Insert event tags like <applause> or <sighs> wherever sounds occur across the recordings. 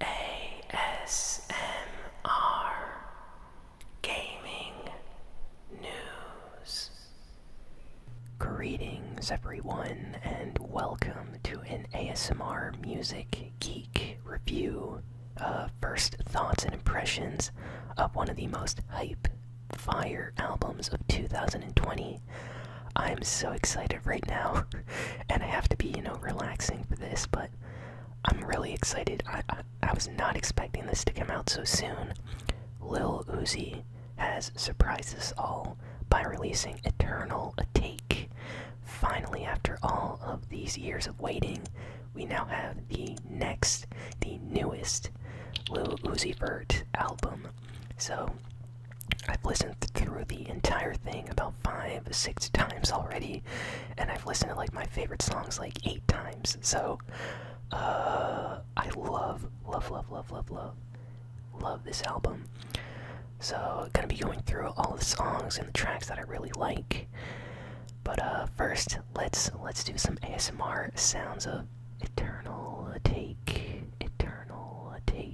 ASMR Gaming News. Greetings, everyone, and welcome to an ASMR Music Geek review. first thoughts and impressions of one of the most hype fire albums of 2020. I'm so excited right now, <laughs> and I have to be, you know, relaxing for this, but I'm really excited. I, I, was not expecting this to come out so soon. Lil Uzi has surprised us all by releasing Eternal A Take. Finally, after all of these years of waiting, we now have the next, the newest Lil Uzi Vert album. So, I've listened through the entire thing about five, six times already, and I've listened to like my favorite songs like eight times. So, uh, I love, love, love, love, love, love, love this album. So, gonna be going through all the songs and the tracks that I really like. But uh, first, let's let's do some ASMR sounds of eternal take, eternal take.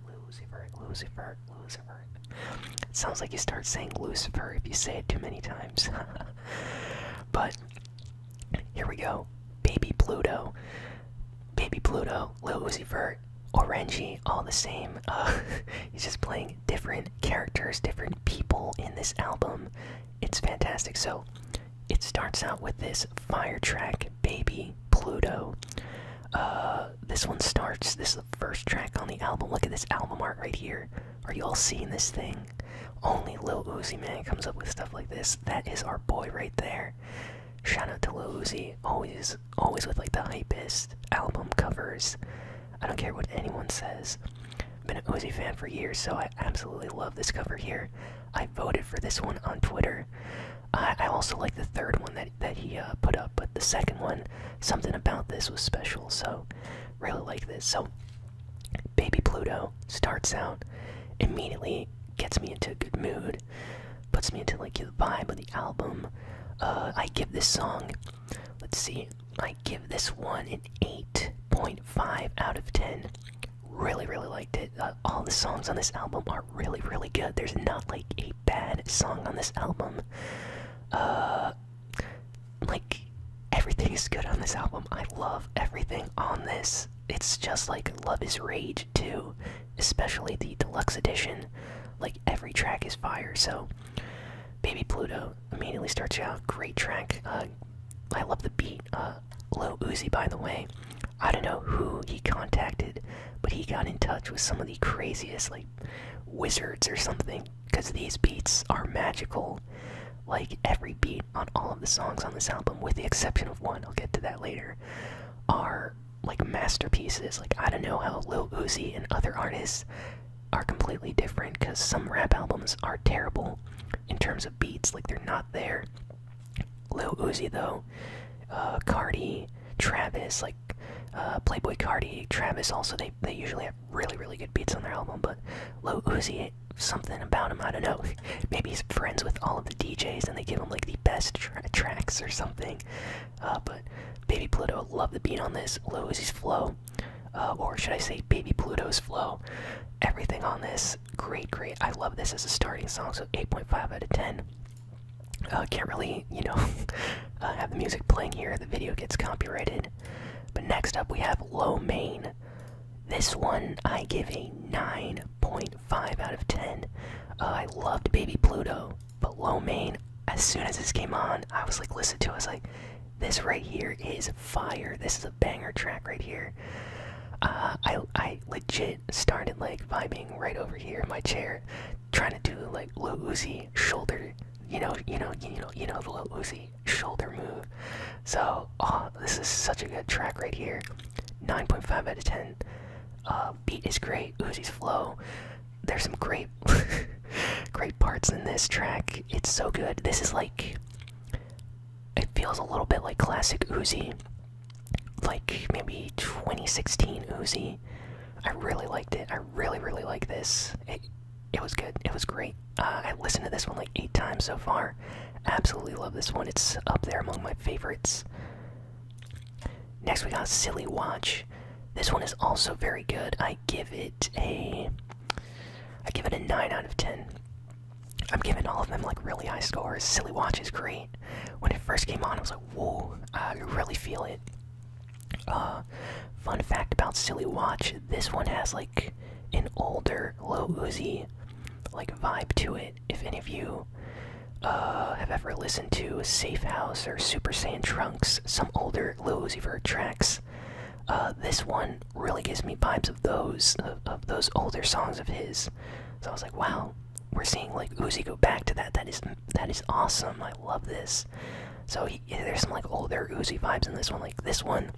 Luciferic, Luciferic, Luciferic. It sounds like you start saying Lucifer if you say it too many times. <laughs> but here we go. Baby Pluto. Baby Pluto, Lil Vert, Orangey, all the same. <laughs> he's just playing different characters, different people in this album. It's fantastic. So it starts out with this fire track, Baby Pluto. Uh, this one starts. This is the first track on the album. Look at this album art right here. Are you all seeing this thing? Only Lil Uzi Man comes up with stuff like this. That is our boy right there. Shout out to Lil Uzi. Always, always with like the hypest album covers. I don't care what anyone says. Been an Uzi fan for years, so I absolutely love this cover here. I voted for this one on Twitter. I, also like the third one that that he uh, put up, but the second one, something about this was special. So, really like this. So, Baby Pluto starts out immediately gets me into a good mood, puts me into like the vibe of the album. Uh, I give this song, let's see, I give this one an eight point five out of ten. Really, really liked it. Uh, all the songs on this album are really, really good. There's not like a bad song on this album. Uh, like everything is good on this album. I love everything on this. It's just like Love Is Rage too, especially the deluxe edition. Like every track is fire. So, Baby Pluto immediately starts out. Great track. Uh, I love the beat. Little Low Uzi, by the way, I don't know who he contacted, but he got in touch with some of the craziest, like, wizards or something, because these beats are magical. Like, every beat on all of the songs on this album, with the exception of one, I'll get to that later, are, like, masterpieces. Like, I don't know how Lil Uzi and other artists are completely different, because some rap albums are terrible in terms of beats, like, they're not there. Lil Uzi though, uh, Cardi, Travis, like uh, Playboy Cardi, Travis. Also, they they usually have really really good beats on their album, but Lil Uzi, something about him, I don't know. <laughs> Maybe he's friends with all of the DJs and they give him like the best tracks or something. Uh, but Baby Pluto, love the beat on this. Lil Uzi's flow, uh, or should I say Baby Pluto's flow. Everything on this great, great. I love this as a starting song, so 8.5 out of 10. Uh, can't really, you know, <laughs> uh, have the music playing here. The video gets copyrighted. But next up, we have Low Main. This one I give a 9.5 out of 10. Uh, I loved Baby Pluto, but Low Main, as soon as this came on, I was like, listen to it. I was like, this right here is fire. This is a banger track right here. Uh, I, I legit started like vibing right over here in my chair, trying to do like little Uzi shoulder, you know, you know, you know, you know the low Uzi shoulder move. So oh, this is such a good track right here. 9.5 out of 10. Uh, beat is great. Uzi's flow. There's some great, <laughs> great parts in this track. It's so good. This is like, it feels a little bit like classic Uzi like maybe 2016 Uzi. I really liked it. I really, really like this. It, it was good. It was great. Uh, I listened to this one like eight times so far. Absolutely love this one. It's up there among my favorites. Next, we got Silly Watch. This one is also very good. I give it a. I give it a nine out of ten. I'm giving all of them like really high scores. Silly Watch is great. When it first came on, I was like, whoa, I really feel it. Uh, fun fact about Silly Watch: this one has like an older low Uzi like vibe to it. If any of you uh, have ever listened to Safe House or Super Saiyan Trunks, some older low Uzi tracks. Uh, this one really gives me vibes of those of those older songs of his. So I was like, wow, we're seeing like Uzi go back to that. That is that is awesome. I love this. So there's some like older Uzi vibes in this one. Like this one,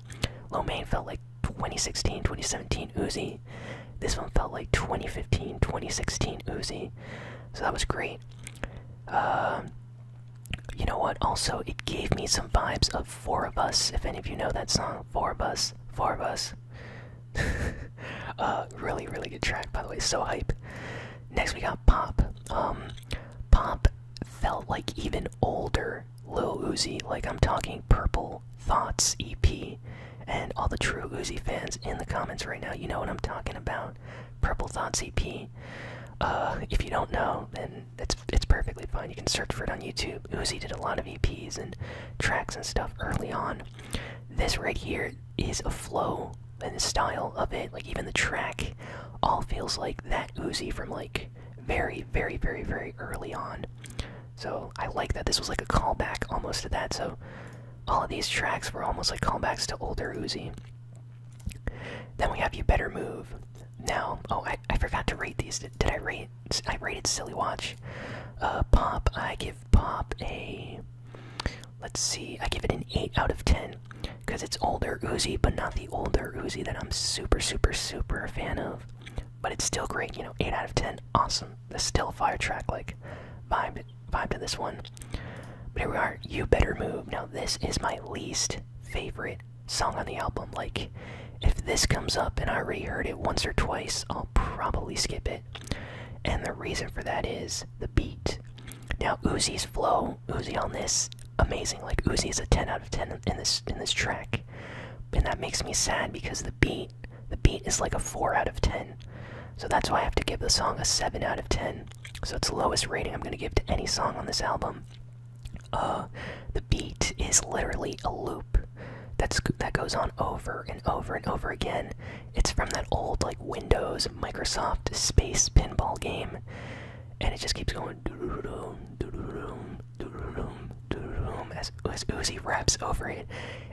Lomane felt like 2016, 2017 Uzi. This one felt like 2015, 2016 Uzi. So that was great. Um, you know what? Also, it gave me some vibes of Four of Us. If any of you know that song, Four of Us, Four of Us. <laughs> uh, really, really good track, by the way. So hype. Next, we got Pop. Um, Pop felt like even older Lil Uzi. Like I'm talking Purple Thoughts EP, and all the true Uzi fans in the comments right now, you know what I'm talking about. Purple Thoughts EP. Uh, if you don't know, then it's it's perfectly fine. You can search for it on YouTube. Uzi did a lot of EPs and tracks and stuff early on, this right here is a flow and the style of it, like even the track, all feels like that Uzi from like very, very, very, very early on. So I like that this was like a callback almost to that. So all of these tracks were almost like callbacks to older Uzi. Then we have You Better Move. Now, oh, I, forgot to rate these. Did, did I rate I rated Silly Watch. Uh, Pop, I give Pop a. Let's see, I give it an 8 out of 10. Because it's older Uzi, but not the older Uzi that I'm super, super, super a fan of. But it's still great, you know, 8 out of 10. Awesome. There's still a fire track, like, vibe, vibe to this one. But here we are, You Better Move. Now, this is my least favorite song on the album. Like, if this comes up and I reheard it once or twice, I'll probably skip it. And the reason for that is the beat. Now Uzi's flow, Uzi on this, amazing. Like Uzi is a 10 out of 10 in this in this track. And that makes me sad because the beat, the beat is like a 4 out of 10. So that's why I have to give the song a 7 out of 10. So it's the lowest rating I'm going to give to any song on this album. Uh, the beat is literally a loop loop that's that goes on over and over and over again. It's from that old like Windows Microsoft Space pinball game, and it just keeps going as as Uzi raps over it,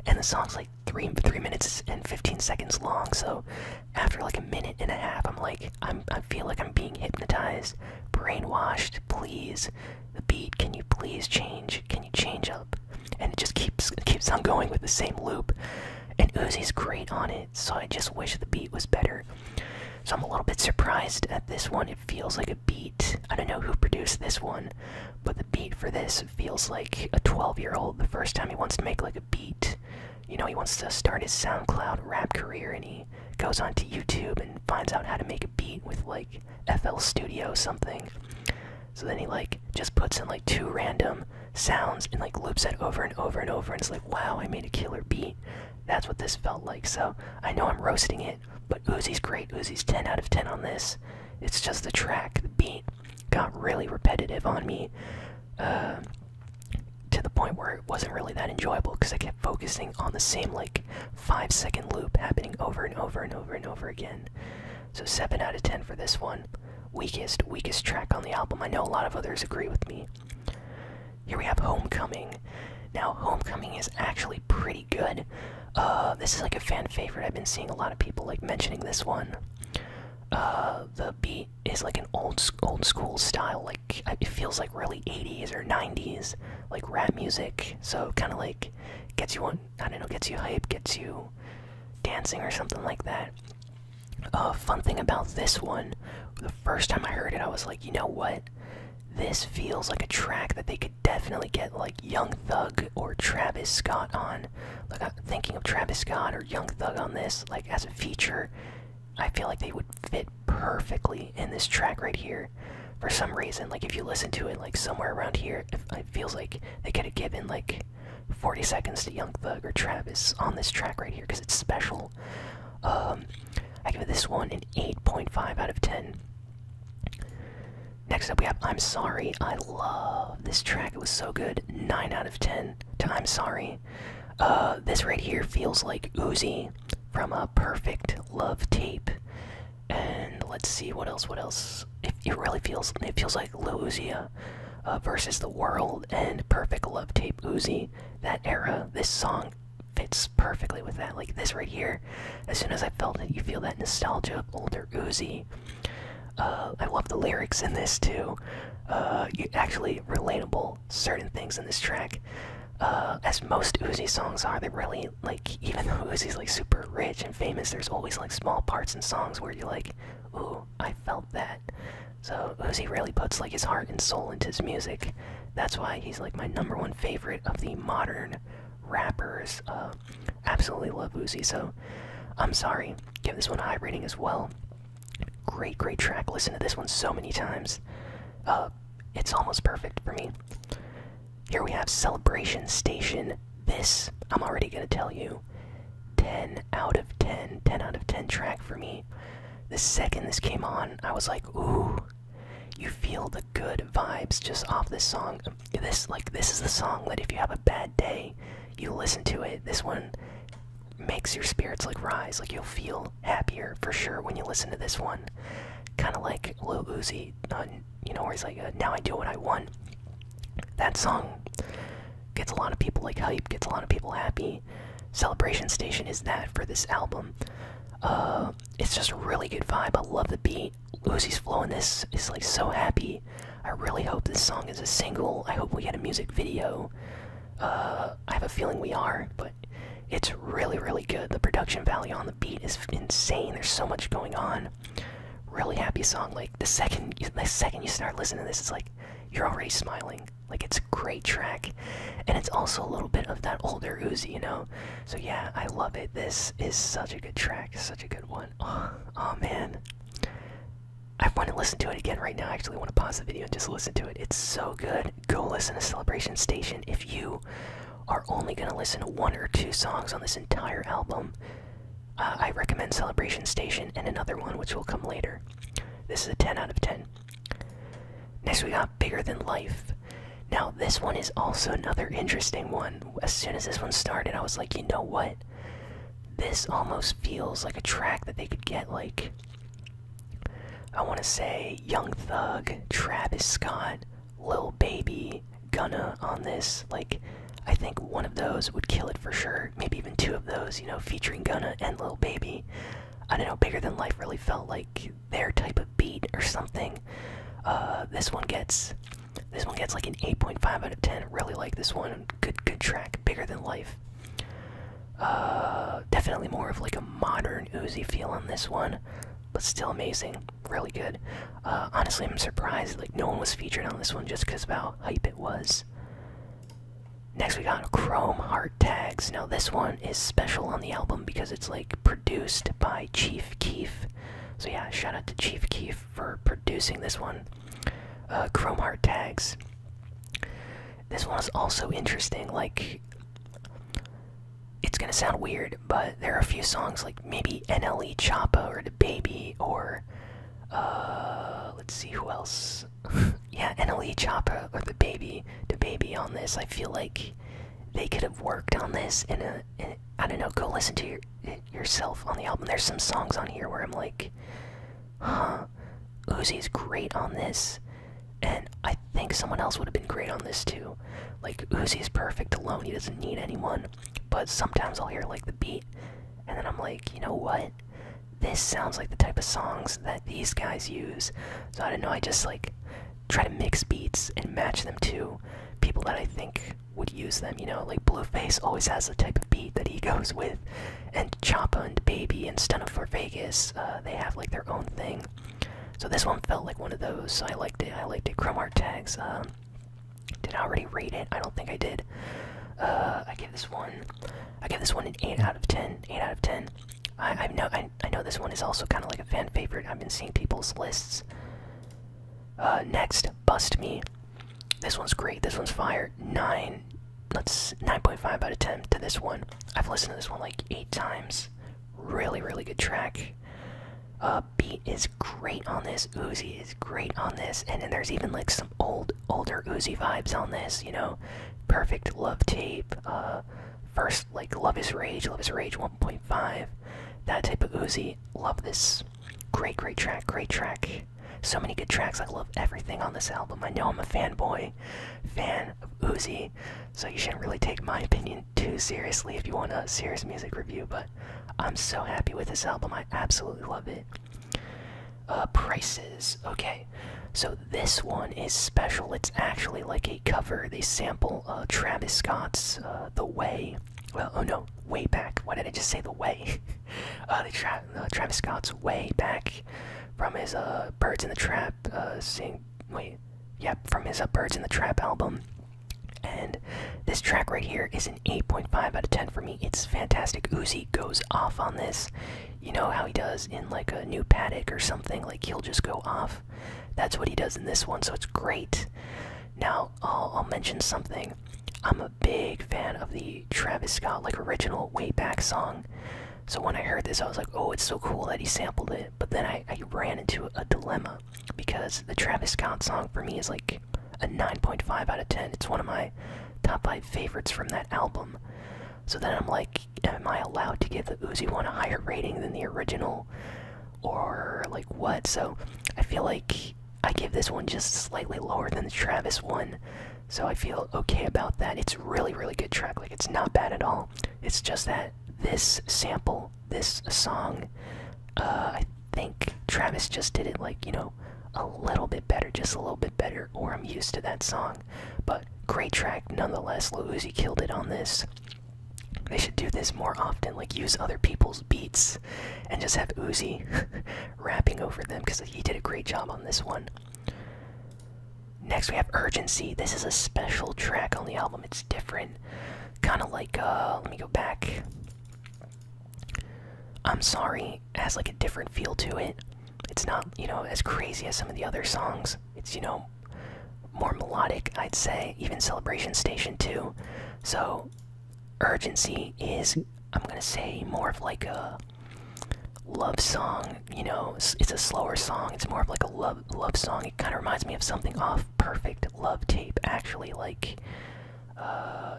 and the song's like three three minutes and fifteen seconds long. So after like a minute and a half, I'm like I'm I feel like I'm being hypnotized, brainwashed. Please the beat can you please change can you change up and it just keeps keeps on going with the same loop and Uzi's great on it so I just wish the beat was better so I'm a little bit surprised at this one it feels like a beat I don't know who produced this one but the beat for this feels like a 12 year old the first time he wants to make like a beat you know he wants to start his SoundCloud rap career and he goes onto YouTube and finds out how to make a beat with like FL Studio something. So then he like just puts in like two random sounds and like loops it over and over and over and it's like wow I made a killer beat. That's what this felt like. So I know I'm roasting it, but Uzi's great. Uzi's 10 out of 10 on this. It's just the track, the beat got really repetitive on me. Uh, to the point where it wasn't really that enjoyable because I kept focusing on the same like five second loop happening over and over and over and over again. So, 7 out of 10 for this one. Weakest, weakest track on the album. I know a lot of others agree with me. Here we have Homecoming. Now, Homecoming is actually pretty good. Uh, this is like a fan favorite. I've been seeing a lot of people like mentioning this one. Uh, the beat is like an old old school style. Like it feels like really 80s or 90s, like rap music. So kind of like gets you on I don't know, gets you hype, gets you dancing or something like that. Uh fun thing about this one, the first time I heard it I was like, you know what? This feels like a track that they could definitely get like Young Thug or Travis Scott on. Like I'm thinking of Travis Scott or Young Thug on this, like as a feature. I feel like they would fit perfectly in this track right here for some reason. Like if you listen to it, like somewhere around here, it feels like they could have given like 40 seconds to Young Thug or Travis on this track right here because it's special. Um, I give this one an 8.5 out of 10. Next up, we have I'm Sorry. I love this track. It was so good. 9 out of 10 to I'm Sorry. Uh, this right here feels like Uzi from a perfect love tape. And let's see what else. What else? It, really feels. It feels like Lil Uzi uh, versus the World and Perfect Love Tape Uzi. That era. This song fits perfectly with that. Like this right here. As soon as I felt it, you feel that nostalgia of older Uzi. Uh, I love the lyrics in this too. Uh, you actually relatable certain things in this track. as most Uzi songs are, That really like even though Uzi's like super rich and famous, there's always like small parts and songs where you're like, ooh, I felt that. So Uzi really puts like his heart and soul into his music. That's why he's like my number one favorite of the modern rappers. Uh, absolutely love Uzi. So I'm sorry. Give this one a high rating as well. Great, great track. Listen to this one so many times. Uh, it's almost perfect for me. Here we have Celebration Station. This, I'm already going to tell you, 10 out of 10, 10 out of 10 track for me. The second this came on, I was like, ooh, you feel the good vibes just off this song. This, like, this is the song that if you have a bad day, you listen to it. This one makes your spirits like rise. Like you'll feel happier for sure when you listen to this one. Kind of like a little uh, you know, where he's like, uh, "Now I do what I want." That song gets a lot of people like hype, gets a lot of people happy. Celebration Station is that for this album. Uh, it's just a really good vibe. I love the beat. Uzi's flowing. this is like so happy. I really hope this song is a single. I hope we get a music video. Uh, I have a feeling we are, but it's really, really good. The production value on the beat is insane. There's so much going on. Really happy song. Like the second, you, the second you start listening to this, it's like you're already smiling. Like it's a great track, and it's also a little bit of that older Uzi, you know. So yeah, I love it. This is such a good track, such a good one. <sighs> Oh, man, I want to listen to it again right now. I actually want to pause the video and just listen to it. It's so good. Go listen to Celebration Station if you are only going to listen to one or two songs on this entire album. Uh, I recommend Celebration Station and another one, which will come later. This is a 10 out of 10. Next, we got Bigger Than Life. Now, this one is also another interesting one. As soon as this one started, I was like, you know what? This almost feels like a track that they could get, like, I want to say Young Thug, Travis Scott, Little Baby, Gunna on this. Like, I think one of those would kill it for sure. Maybe even two of those, you know, featuring Gunna and Little Baby. I don't know, Bigger Than Life really felt like their type of beat or something. Uh, this one gets. This one gets like an 8.5 out of 10. Really like this one. Good, good track. Bigger than life. Uh, definitely more of like a modern Uzi feel on this one but still amazing. Really good. Uh, honestly, I'm surprised like no one was featured on this one just because of how hype it was. Next, we got Chrome Heart Tags. Now, this one is special on the album because it's like produced by Chief Keef. So, yeah, shout out to Chief Keef for producing this one. Uh, Chrome Heart Tags. This one is also interesting. Like, it's gonna sound weird, but there are a few songs like maybe NLE Choppa or The Baby or uh, let's see who else. <laughs> yeah, NLE Choppa or The Baby, The Baby on this. I feel like they could have worked on this in a, a I don't know. Go listen to your, yourself on the album. There's some songs on here where I'm like, huh, Uzi's great on this. And I think someone else would have been great on this too. Like Uzi is perfect alone; he doesn't need anyone. But sometimes I'll hear like the beat, and then I'm like, you know what? This sounds like the type of songs that these guys use. So I don't know. I just like try to mix beats and match them to people that I think would use them. You know, like Blueface always has the type of beat that he <laughs> goes with, and Choppa and Baby and Stunna for Vegas, uh, they have like their own thing. So this one felt like one of those. I liked it. I liked it. Chrome tags. Um, did I already read it? I don't think I did. Uh, I give this one. I give this one an eight out of ten. Eight out of ten. I, I know. I, I know this one is also kind of like a fan favorite. I've been seeing people's lists. Uh, next, bust me. This one's great. This one's fire. Nine. Let's 9.5 out of 10 to this one. I've listened to this one like eight times. Really, really good track. Uh, Beat is great on this. Uzi is great on this. And then there's even like some old, older Uzi vibes on this. You know, perfect love tape. Uh, first like Love Is Rage, Love Is Rage 1.5. That type of Uzi. Love this. Great, great track. Great track. So many good tracks. I love everything on this album. I know I'm a fanboy, fan of Uzi, so you shouldn't really take my opinion too seriously if you want a serious music review, but I'm so happy with this album. I absolutely love it. Uh, prices. Okay, so this one is special. It's actually like a cover. They sample uh, Travis Scott's uh, The Way. Well, oh no, Way Back. Why did I just say The Way? <laughs> uh, they uh, Travis Scott's Way Back from his Birds in the Trap uh, sing. Wait, Yep, from his Up Birds in the Trap album. And this track right here is an 8.5 out of 10 for me. It's fantastic. Uzi goes off on this. You know how he does in like a new paddock or something, like he'll just go off. That's what he does in this one, so it's great. Now, I'll, I'll mention something. I'm a big fan of the Travis Scott like original way back song. So when I heard this, I was like, oh, it's so cool that he sampled it. But then I, I ran into a dilemma because the Travis Scott song for me is like a 9.5 out of 10. It's one of my top 5 favorites from that album. So then I'm like, am I allowed to give the Uzi one a higher rating than the original? Or like what? So I feel like I give this one just slightly lower than the Travis one. So I feel okay about that. It's really, really good track. Like, it's not bad at all. It's just that this sample, this song. Uh, I think Travis just did it like, you know, a little bit better, just a little bit better, or I'm used to that song. But great track nonetheless. Lil Uzi killed it on this. They should do this more often, like use other people's beats and just have Uzi <laughs> rapping over them because he did a great job on this one. Next, we have Urgency. This is a special track on the album. It's different. Kind of like, uh, let me go back. I'm Sorry it has like a different feel to it. It's not, you know, as crazy as some of the other songs. It's, you know, more melodic, I'd say. Even Celebration Station, too. So, Urgency is, I'm gonna say, more of like a love song you know, it's, a slower song. It's more of like a love love song. It kind of reminds me of something off Perfect Love Tape, actually. Like, uh,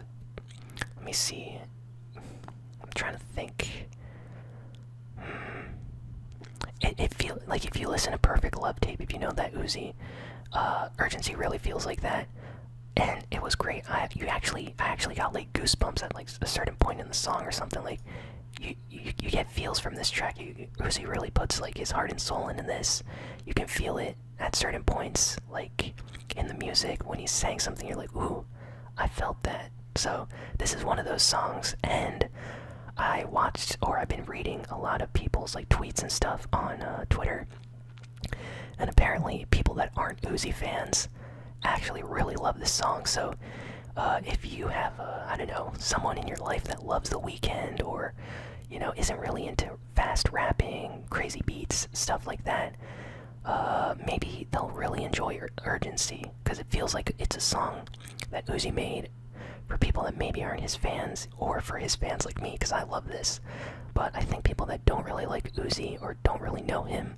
let me see. I'm trying to think. Hmm, it, feels like if you listen to Perfect Love Tape, if you know that Uzi, uh, Urgency really feels like that. And it was great. I you actually I actually got like goosebumps at like a certain point in the song or something like. You you, get feels from this track. You, Uzi really puts like his heart and soul into this. You can feel it at certain points, like in the music when he's saying something. You're like, ooh, I felt that. So this is one of those songs, and I watched or I've been reading a lot of people's like tweets and stuff on uh, Twitter, and apparently people that aren't Uzi fans actually really love this song. So uh, if you have, a, uh, I don't know, someone in your life that loves The weekend, or, you know, isn't really into fast rapping, crazy beats, stuff like that, uh, maybe they'll really enjoy Urgency because it feels like it's a song that Uzi made for people that maybe aren't his fans or for his fans like me because I love this. But I think people that don't really like Uzi or don't really know him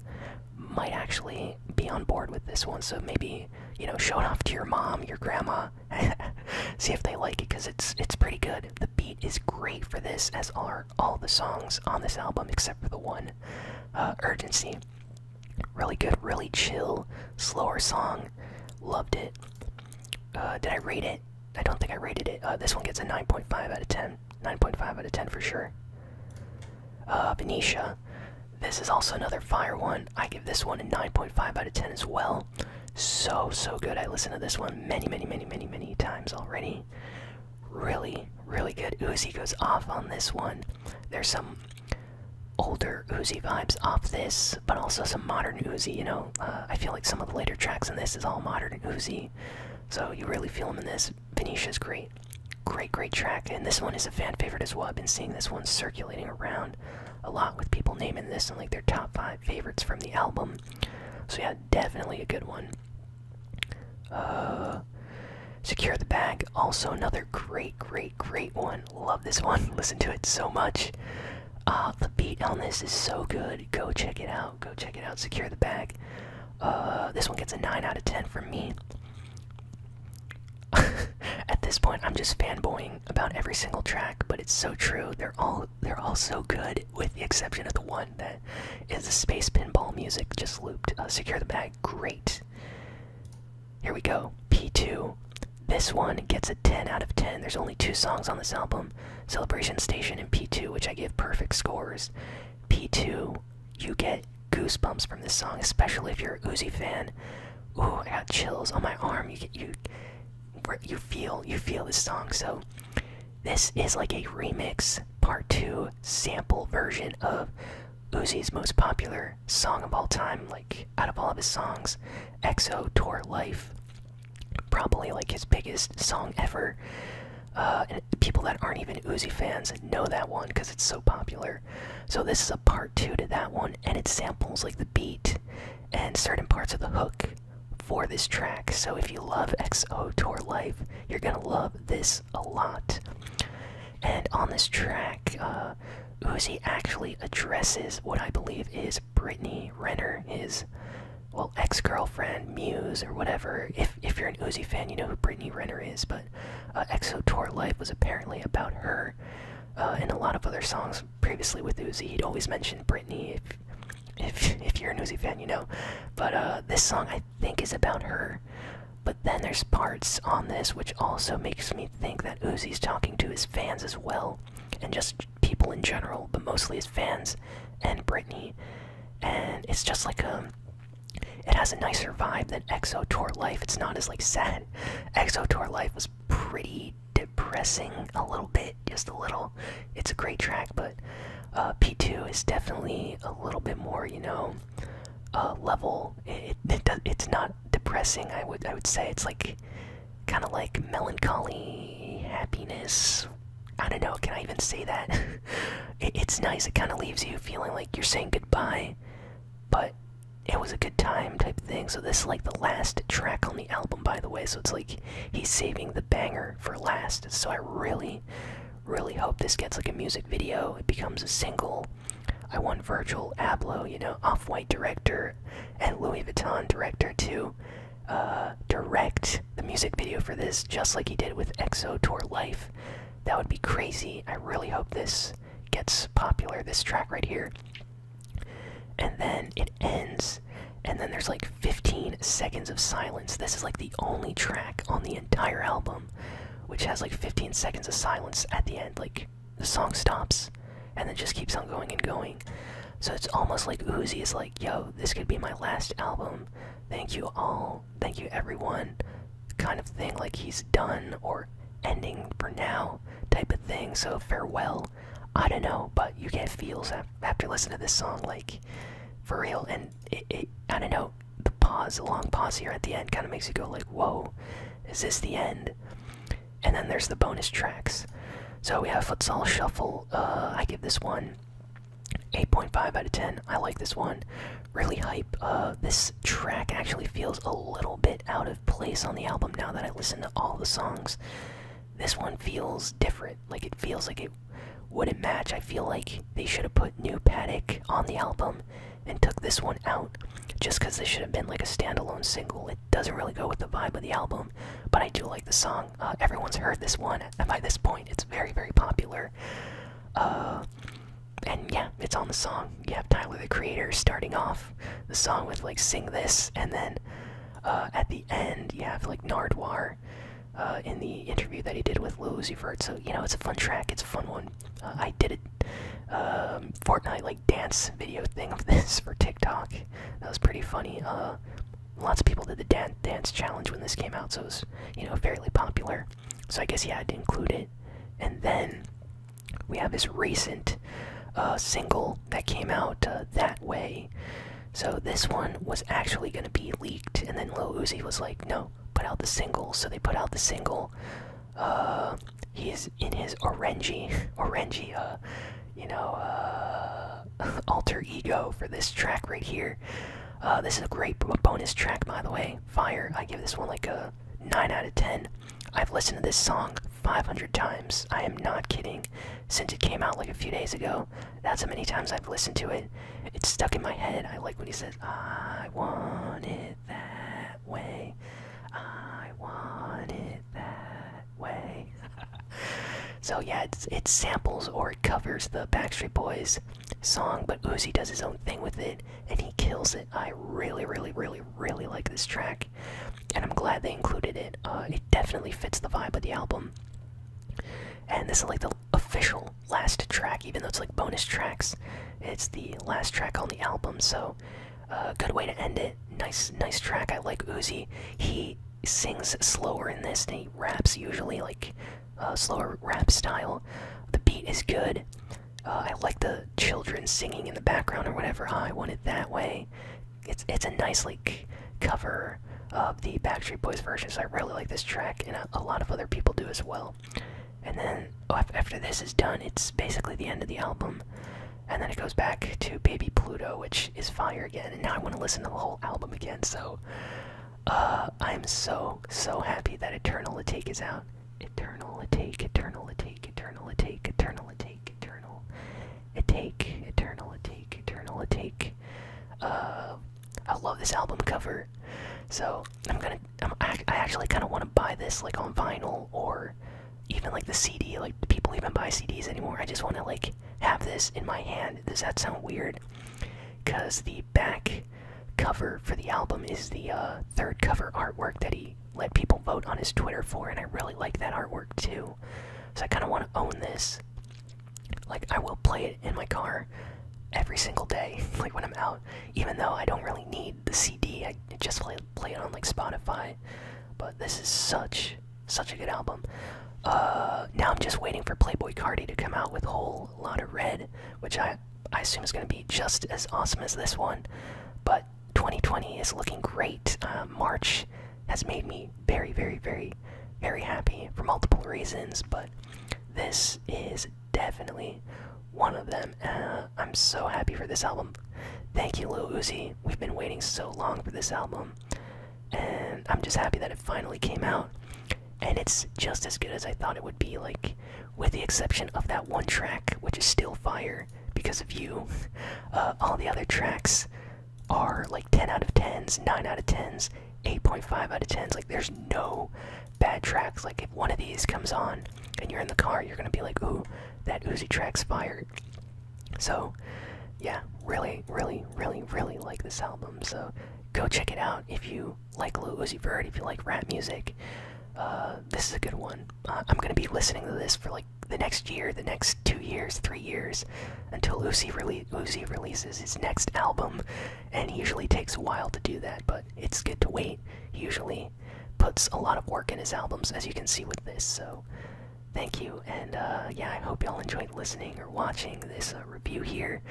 might actually be on board with this one, so maybe you know, show it off to your mom, your grandma. <laughs> See if they like it because it's it's pretty good. The beat is great for this, as are all the songs on this album except for the one, uh, Urgency. Really good, really chill, slower song. Loved it. Uh, did I rate it? I don't think I rated it. Uh, this one gets a 9.5 out of 10. 9.5 out of 10 for sure. Venetia. This is also another fire one. I give this one a 9.5 out of 10 as well. So, so good. I listened to this one many, many, many, many, many times already. Really, really good. Uzi goes off on this one. There's some older Uzi vibes off this, but also some modern Uzi. You know, uh, I feel like some of the later tracks in this is all modern Uzi. So you really feel them in this. is great. Great, great track. And this one is a fan favorite as well. I've been seeing this one circulating around a lot with people naming this and like their top five favorites from the album. So yeah, definitely a good one. Uh, Secure the Bag, also another great, great, great one. Love this one. <laughs> Listen to it so much. Uh, the beat on this is so good. Go check it out. Go check it out. Secure the Bag. Uh, this one gets a 9 out of 10 from me. <laughs> At this point, I'm just fanboying about every single track, but it's so true. They're all they're all so good, with the exception of the one that is the space pinball music just looped. Uh, Secure the bag, great. Here we go, P2. This one gets a 10 out of 10. There's only two songs on this album Celebration Station and P2, which I give perfect scores. P2 you get goosebumps from this song, especially if you're a Uzi fan. Ooh, I got chills on my arm. You get you you feel you feel this song. So this is like a remix part two sample version of Uzi's most popular song of all time, like out of all of his songs, EXO Tour Life. Probably like his biggest song ever. Uh, and people that aren't even Uzi fans know that one because it's so popular. So this is a part two to that one, and it samples like the beat and certain parts of the hook for this track. So if you love XO Tour Life, you're gonna love this a lot. And on this track, uh, Uzi actually addresses what I believe is Brittany Renner, his well ex-girlfriend, muse, or whatever. If if you're an Uzi fan, you know who Brittany Renner is, but but uh, Exo Tour Life was apparently about her. Uh, and a lot of other songs previously with Uzi, he'd always mentioned Britney. If if you're a Uzi fan, you know. But uh, this song I think is about her. But then there's parts on this which also makes me think that Uzi's talking to his fans as well, and just people in general, but mostly his fans and Britney. And it's just like a um, it has a nicer vibe than Exo Tour Life. It's not as like sad. Exo Tour Life was pretty depressing a little bit, just a little. It's a great track, but uh, P2 is definitely a little bit more, you know, uh, level. It, it's not depressing. I would I would say it's like kind of like melancholy happiness. I don't know. Can I even say that? <laughs> it's nice. It kind of leaves you feeling like you're saying goodbye but it was a good time type thing. So this is like the last track on the album, by the way. So it's like he's saving the banger for last. So I really, really hope this gets like a music video. It becomes a single. I want Virgil Abloh, you know, Off-White director and Louis Vuitton director to uh, direct the music video for this, just like he did with EXO Tour Life. That would be crazy. I really hope this gets popular this track right here and then it ends and then there's like 15 seconds of silence this is like the only track on the entire album which has like 15 seconds of silence at the end like the song stops and then just keeps on going and going so it's almost like Uzi is like yo this could be my last album thank you all thank you everyone kind of thing, like he's done or ending for now type of thing. So farewell. I don't know, but you get feels after listening to this song, like for real. And I don't know, the pause, the long pause here at the end, kind of makes you go like, "Whoa, is this the end?" And then there's the bonus tracks. So we have Futsal Shuffle. Uh, I give this one 8.5 out of 10. I like this one really hype. Uh, this track actually feels a little bit out of place on the album now that I listen to all the songs. This one feels different. Like it feels like it wouldn't match. I feel like they should have put New Paddock on the album and took this one out just because this should have been like a standalone single. It doesn't really go with the vibe of the album, but I do like the song. Uh, everyone's heard this one by this point. It's very, very popular. Uh, and yeah, it's on the song. You have Tyler the Creator starting off the song with like "Sing This," and then uh, at the end you have like Nardwuar uh, in the interview that he did with Lil Uzi So you know it's a fun track. It's a fun one. Uh, I did it um, Fortnite like dance video thing of <laughs> this for TikTok. That was pretty funny. lots of people did the dance dance challenge when this came out, so it's you know fairly popular. So I guess he had to include it. And then we have his recent uh, single that came out uh, that way. So this one was actually going to be leaked, and then Lil Uzi was like, "No, put out the single." So they put out the single. Uh, he is in his orangey, <laughs> orangey, uh, you know, <laughs> alter ego for this track right here. Uh, this is a great bonus track, by the way. Fire. I give this one like a 9 out of 10. I've listened to this song 500 times. I am not kidding. Since it came out like a few days ago, that's how many times I've listened to it. It's stuck in my head. I like when he says, I want it that way. I want it that way. <laughs> so yeah, it's, it samples or it covers the Backstreet Boys song, but Uzi does his own thing with it and he kills it. I really, really, really, really like this track, and I'm glad they included it. Uh, it definitely fits the vibe of the album. And this is like the official last track, even though it's like bonus tracks. It's the last track on the album, so uh, good way to end it. Nice, nice track. I like Uzi. He sings slower in this, and he raps usually like uh, slower rap style. The beat is good. Uh, I like the children singing in the background or whatever. I want it that way. It's it's a nice like cover of the Backstreet Boys version. So I really like this track, and a, lot of other people do as well. And then oh, after this is done, it's basically the end of the album. And then it goes back to Baby Pluto, which is fire again. And now I want to listen to the whole album again. So uh, I'm so, so happy that Eternal Attack is out. Eternal Attack, Eternal Attack, Eternal Attack, Eternal Attack, Eternal Attack, Eternal Attack, Eternal Attack. Uh, I love this album cover. So, I'm gonna, I'm, I actually kind of want to buy this, like, on vinyl, or even, like, the CD. Like, people even buy CDs anymore. I just want to, like, have this in my hand. Does that sound weird? Because the back cover for the album is the uh, third cover artwork that he let people vote on his Twitter for, and I really like that artwork too. So I kind of want to own this. Like, I will play it in my car every single day, <laughs> like when I'm out, even though I don't really need the CD. I just play, play it on like Spotify. But this is such, such a good album. Uh, now I'm just waiting for Playboy Cardi to come out with a whole lot of red, which I I assume it's going to be just as awesome as this one. But 2020 is looking great. Um, March has made me very, very, very, very happy for multiple reasons, but this is definitely one of them. Uh, I'm so happy for this album. Thank you, Lil Uzi. We've been waiting so long for this album, and I'm just happy that it finally came out and it's just as good as I thought it would be. Like, with the exception of that one track, which is still fire because of you, <laughs> uh, all the other tracks are like 10 out of 10s, 9 out of 10s, 8.5 out of 10s. Like, there's no bad tracks. Like, if one of these comes on and you're in the car, you're gonna be like, ooh, that Uzi track's fire. So, yeah, really, really, really, really like this album. So, go check it out if you like Lucy Bird, if you like rap music, uh, this is a good one. Uh, I'm gonna be listening to this for like the next year, the next two years, three years, until Lucy rele Uzi releases his next album, and he usually takes a while to do that, but it's good to wait. He usually puts a lot of work in his albums, as you can see with this, so thank you, and uh, yeah, I hope y'all enjoyed listening or watching this review here.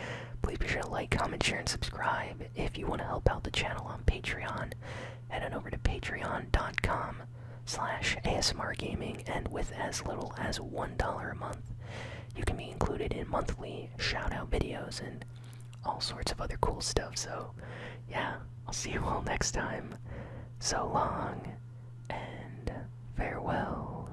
Please be sure to like, comment, share, and subscribe. If you want to help out the channel on Patreon, head on over to patreon.com slash asmrgaming, and with as little as $1 a month, you can be included in monthly shout-out videos and all sorts of other cool stuff. So, yeah, I'll see you all next time. So long, and farewell.